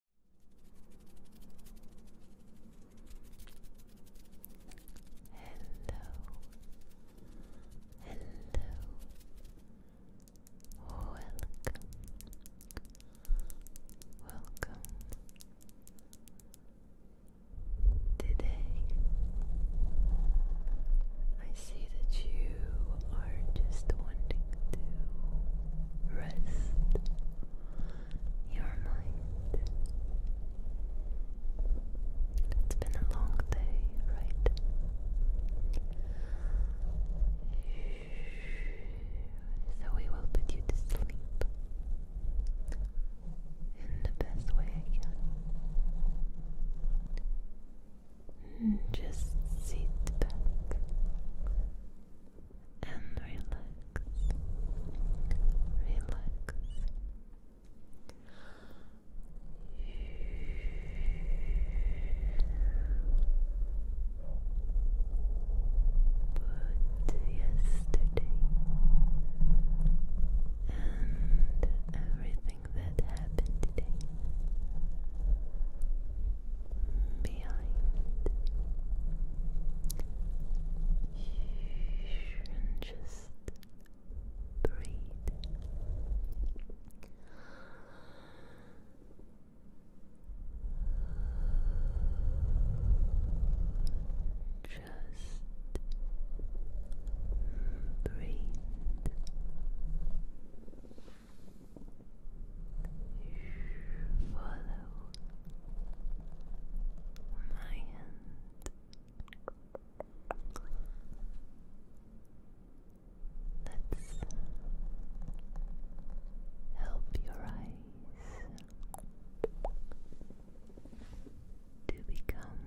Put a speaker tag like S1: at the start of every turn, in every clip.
S1: Hello, welcome, welcome. Today, I see that you are just wanting to rest your mind. It's been a long day, right? So we will put you to sleep in the best way I can. Just sit back and relax, relax. Put yesterday and everything that happened today behind and just breathe. Just breathe. Follow my hand. Let's help your eyes to become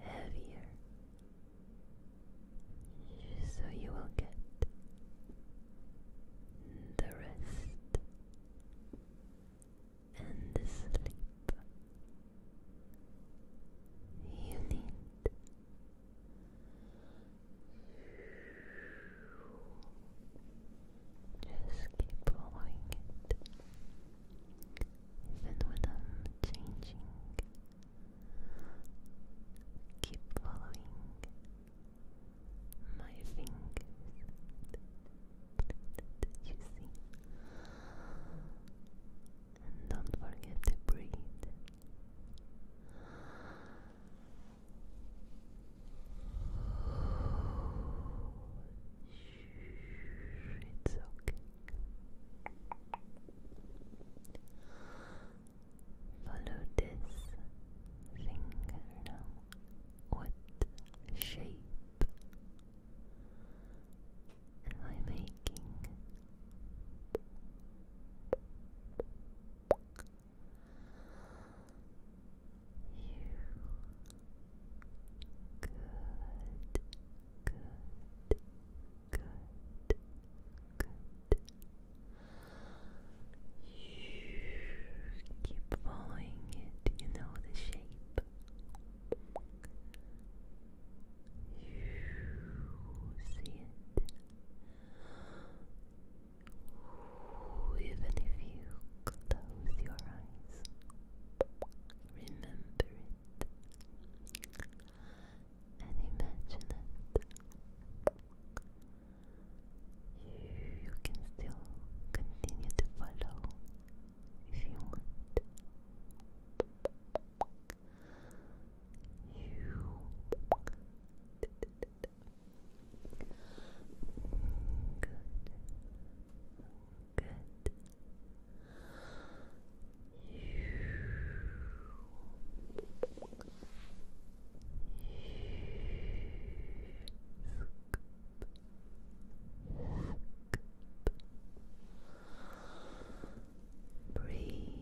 S1: heavier so you will get the rest and the sleep you need. Just keep following it, even when I'm changing Keep following my fingers. You see? And don't forget to breathe. It's okay. Follow this finger now. What shape am I making? You good, good, Good. You keep following it. You know the shape. You see it. Even if you close your eyes, remember it and imagine it. You can still continue to follow if you want. You good, good. Breathe. Breathe.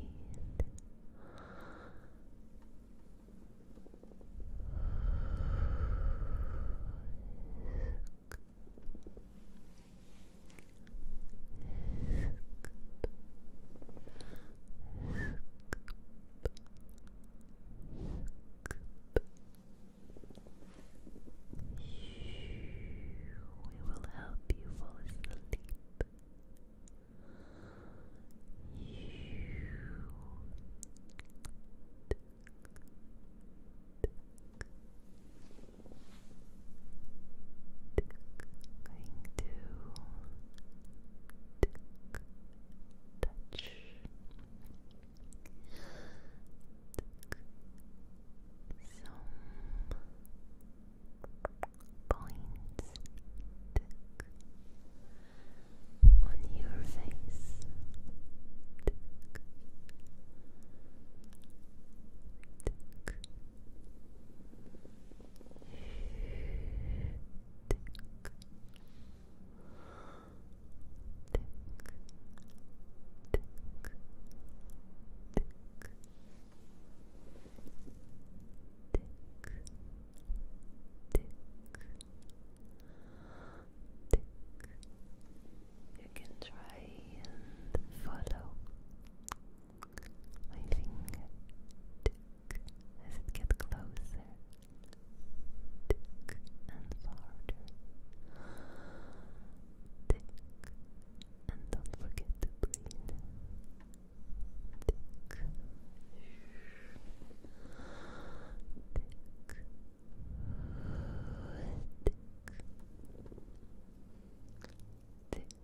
S1: We will help you fall asleep touch some points on your face. You can try and follow Living tick as it gets closer, and farther, and don't forget to breathe,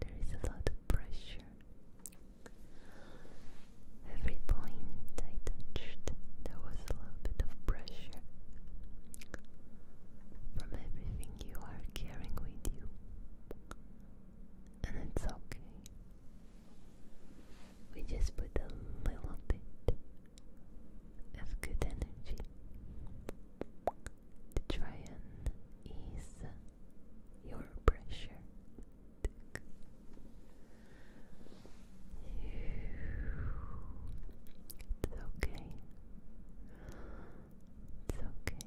S1: There is a lot of pressure. Every point I touched, there was a little bit of pressure from everything you are carrying with you. And it's okay. We just put a little bit of good energy to try and ease your pressure. It's okay. It's okay. It's okay.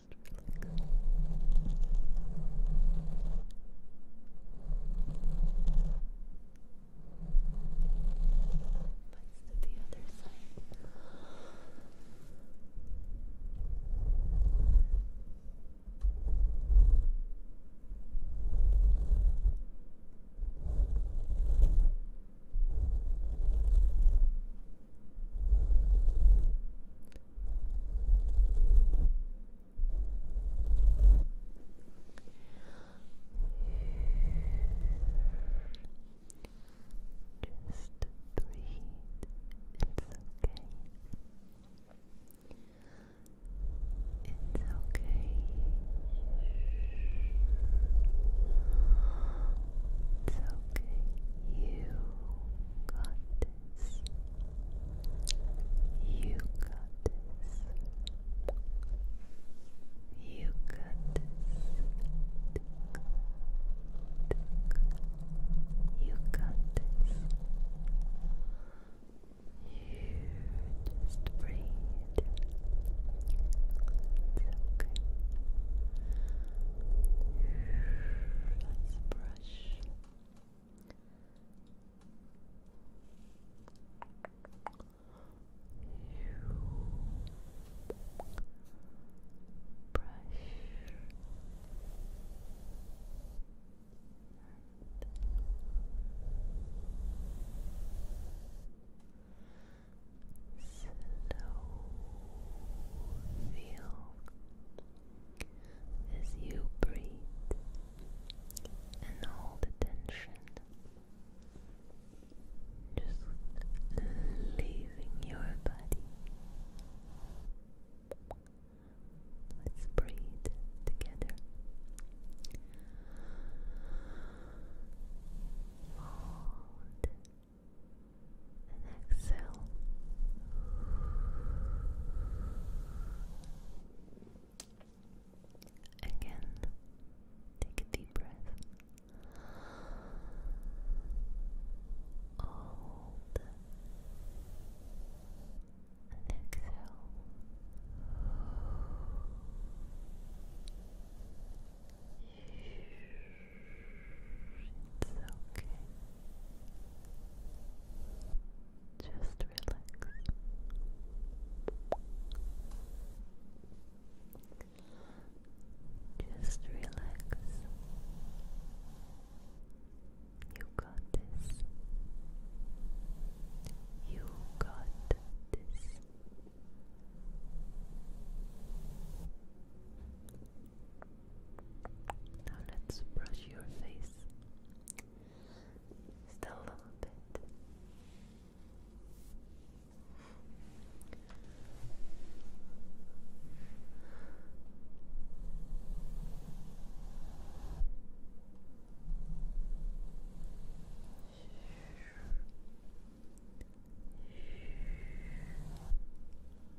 S1: Let's do the other side. Just breathe. It's okay. It's okay. It's okay. You got this this. You got this. You got this. You got this. You just breathe. It's okay. Let's breathe brush. Brush slow feel as you breathe and all the tension just leaving your body. Let's breathe together. Hold and exhale. Again, take a deep breath. Hold and exhale. It's okay. Just relax. Just relax. You got this. You got this. Now let's brush your face. Still a little bit.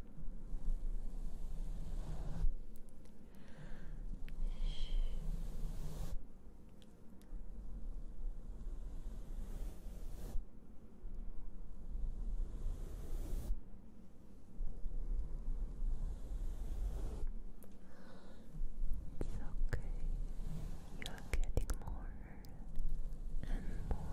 S1: It's okay. You are getting more and more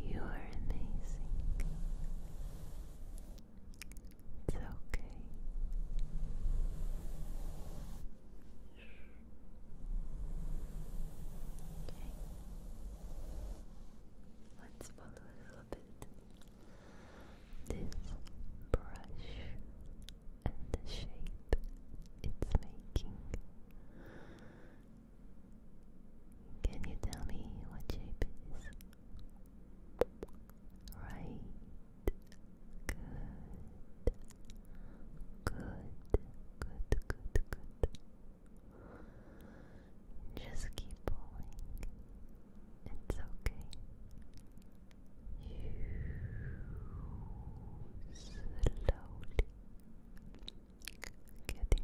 S1: You are amazing. It's okay. Okay. Let's follow a little bit this brush and the shape it's making can you tell me what shape is? Right. Good. Good. Good. Good. Good. Just keep pulling. It's okay. You getting sleepy.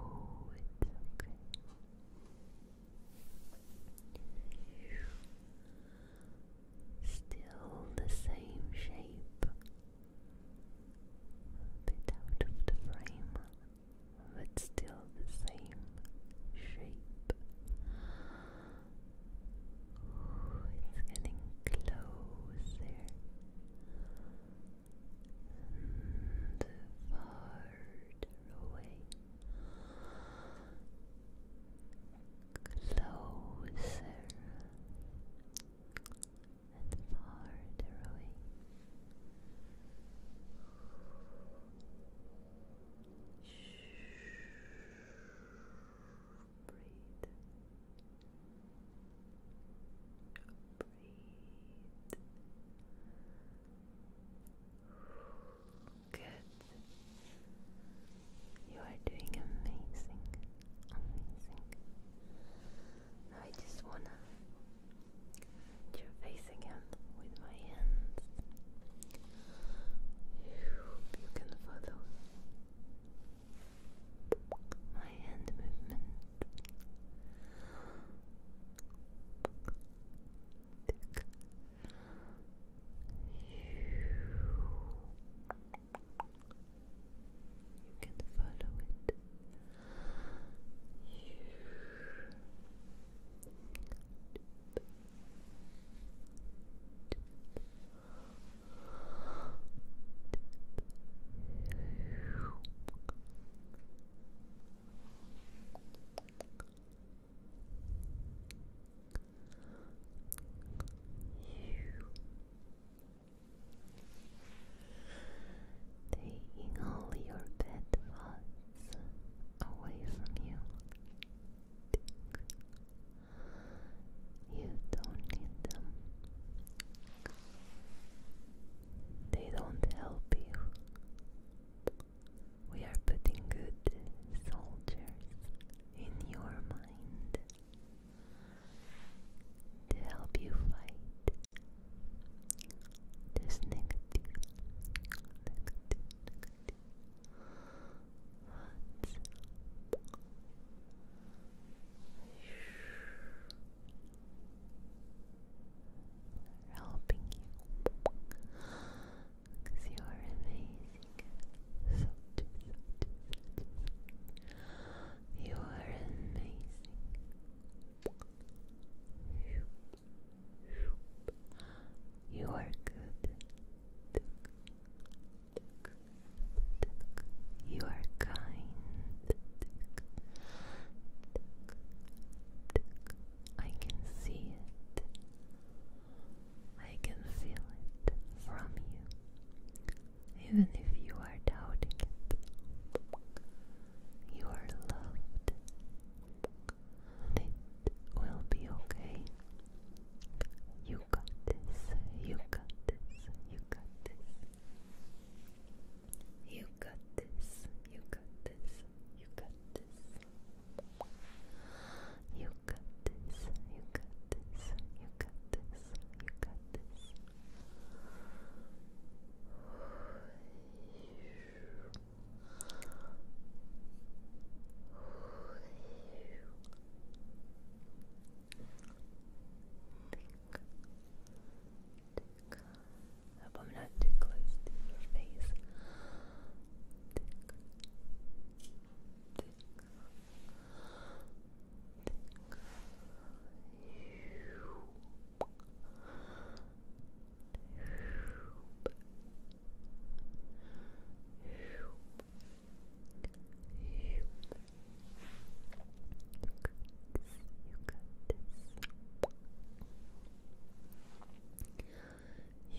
S1: okay. Still the same shape, bit out of the frame, but still the same shape. It's getting closer and farther away. Closer and farther away breathe. Breathe. Good. You are doing amazing. Amazing. I just wanna hit your face again with my hands. You can follow my hand movement you can follow it you. Taking all your bad away from you. You don't need them. They don't help you. We are putting good soldiers in your mind to help you fight this negative, negative, negative helping you because you are amazing. You are amazing. You are good. You are kind. I can see it. I can feel it from you. Even if you are doubting it, you are loved. it will be okay. You got this. You got this. You got this. You got this. You got this. You got this. You got this. You got this. You got this. You got this. You tick. I hope I'm not too close to your face. You got this. You got this.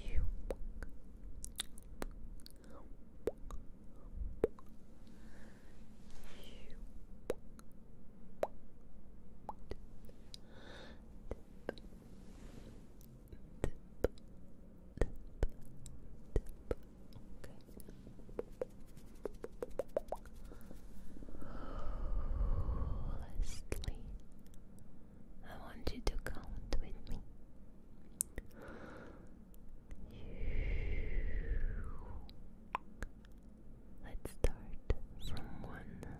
S1: You. You. Tip, Tip, I want you to count with me. Let's start from one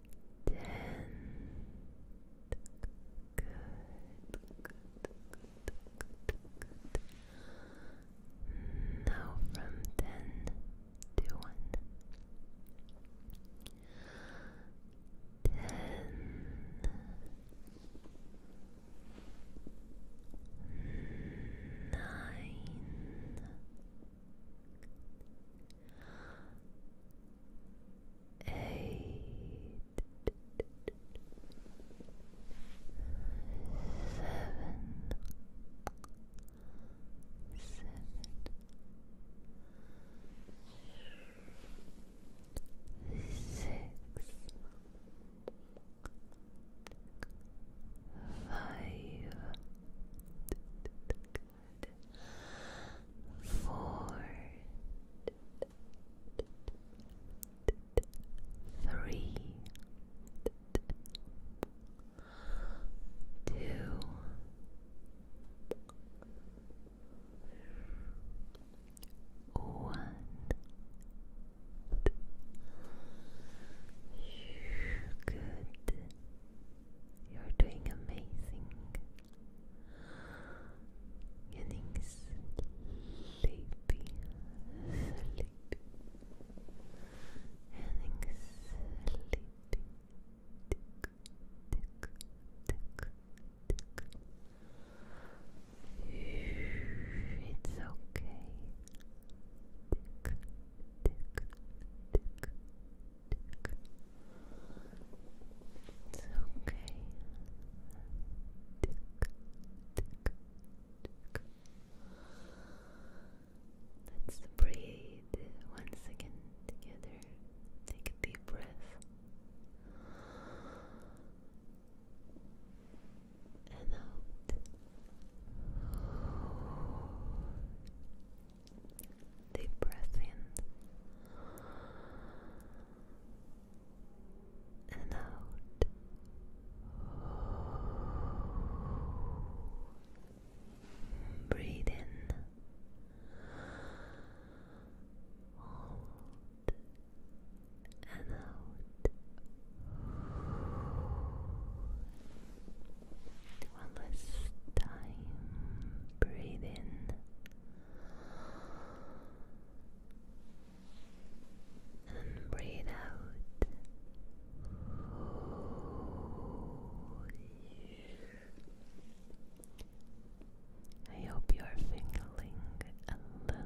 S1: Ten. Good. Good. Now from ten to one. Ten. Nine eight, seven, seven, four, three, two, one. Good. You're doing amazing. Getting sleepy, sleepy. Getting sleepy. It's okay. It's okay. Let's breathe once again together. Take a deep breath. And Deep breath in and out. Breathe in. and out. One last time. Breathe in. And breathe out. I hope you're feeling a little bit better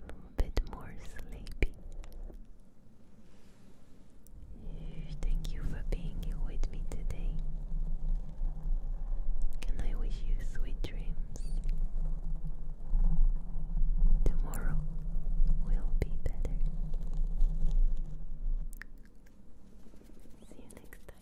S1: a bit more sleepy. Thank you for being with me today. Can I wish you sweet dreams? Tomorrow will be better. See you next time.